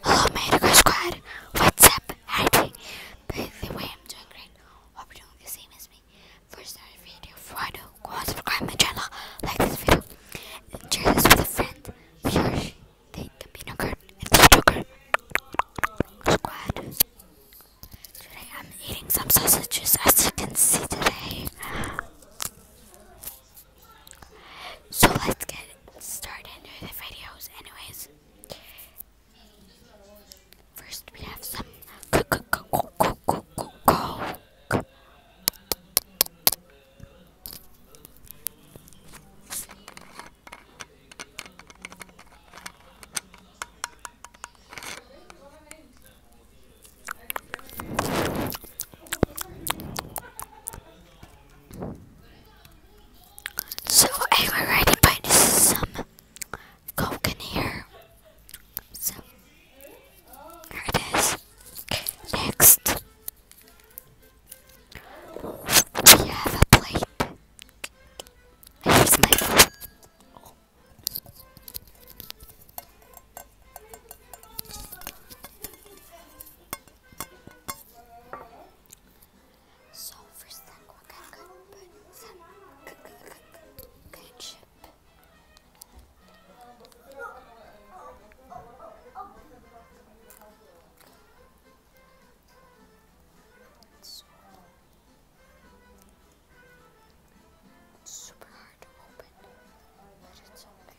Hello, Mandigo Squad. What's up? How are doing? the way, I'm doing great. Hope you're doing the same as me. First, start video. Before go subscribe my channel, like this video, and share this with a friend. Yours, they can be no curtain and the joker. Squad. Today, I'm eating some sausages, as you can see today. So let's get started with the videos anyways. First we have some so I'm already this is some coke in here. So there it is. Next we have a plate. Here's my so first thing we're gonna put some ketchup. it's super hard to open, but it's okay.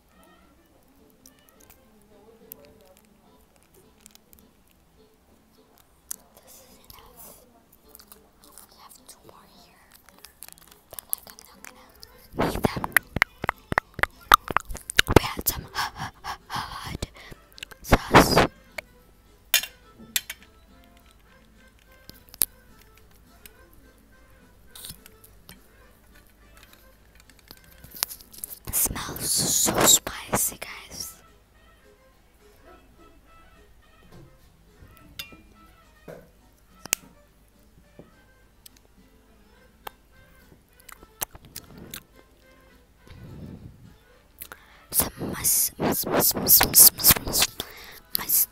This is enough. We have two more here, but I'm not gonna them. We had some hot sauce smells so spicy, guys. Some must, must, must, must, must, must, must, mustard.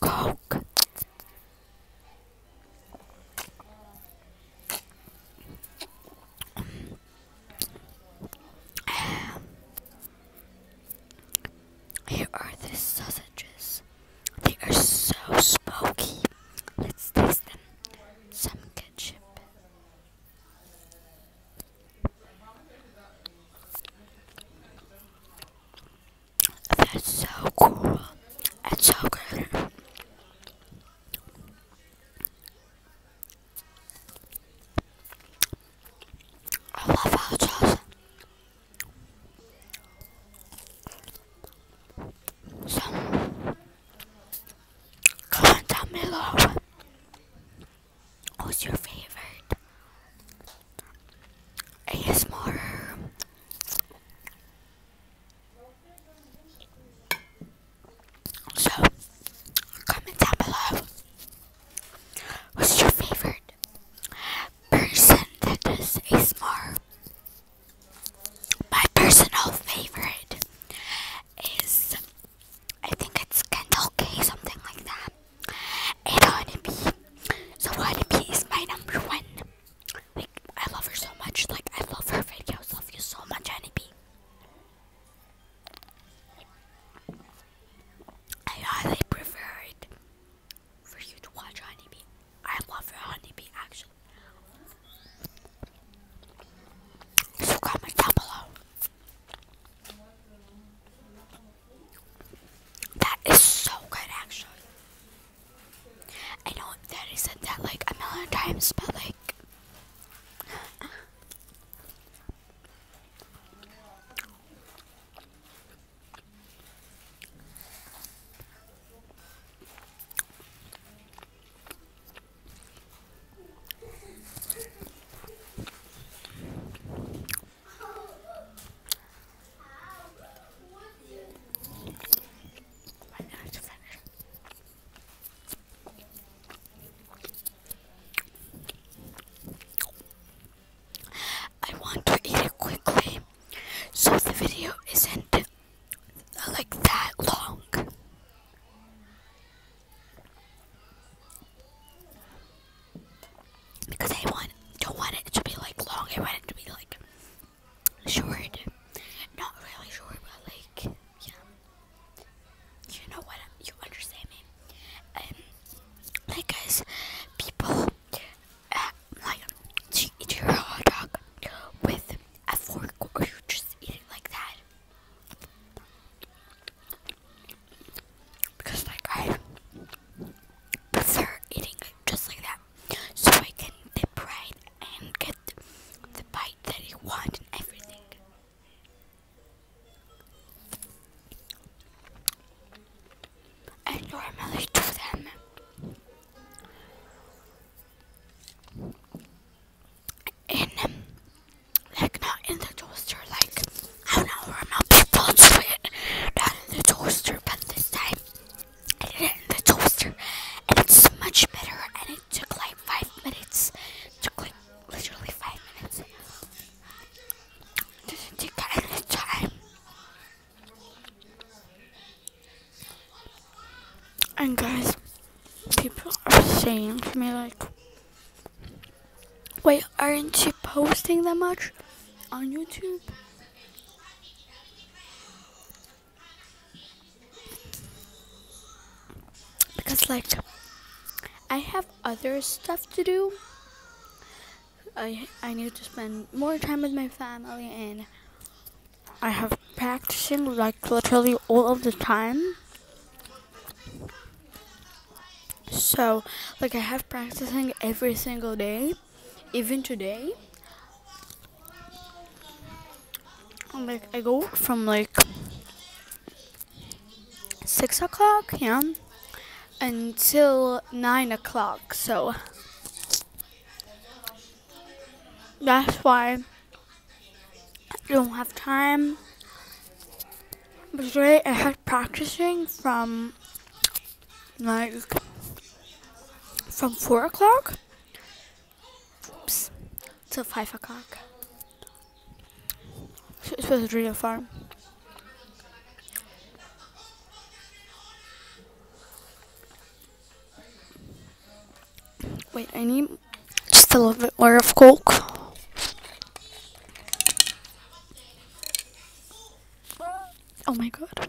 Coke. Um, here are the sausages. They are so smoky. Let's taste them. Some ketchup. That's so cool. That's so good. I love hot sauce. So, comment down below What's your favorite ASMR? So, comment down below. Who's your favorite person that does ASMR? My personal favorite is, I think it's Kendall K, something like that. Honeybee. So Honeybee is my number one. Like I love her so much. Like I love her videos. Love you so much, Honeybee. I highly prefer it for you to watch Honeybee. I love her Honeybee actually. So comment down below that is so good, actually. I know that said that like a million times, but like. I want to eat it quickly, so the video isn't uh, like that long. Because I want don't want it to be like long, I want it to be like short. Not really short, but like yeah. You know what you understand me. Um, like guys, people uh, like eat your hot dog with a fork or you just eat it like that. Because, like, I prefer eating just like that. So I can dip right and get the bite that I want and everything. I normally do them in um, like not in the toaster, like I don't know, remember bones it, not in the toaster, but this time I did it in the toaster, and it's much better, and it took like five minutes, took like literally five minutes. It didn't take of time. And guys, people are saying to me like Wait, aren't you posting that much on YouTube? Because like I have other stuff to do. I I need to spend more time with my family and I have practicing like literally all of the time. So, like, I have practicing every single day, even today. like, I go from like six o'clock, yeah, until nine o'clock. So that's why. I don't have time. But today I had practicing from like from four o'clock till five o'clock. it was really fun. Wait, I need just a little bit more of coke. Oh my god.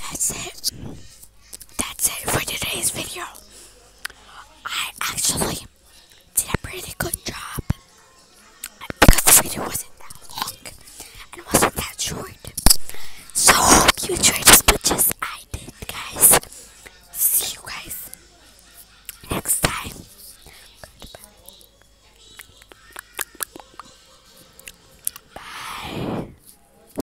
That's it. That's it for today's video. I actually did a pretty good job because the video wasn't that long and it wasn't that short. So hope you enjoyed as much as I did, guys. See you guys next time. Goodbye. Bye.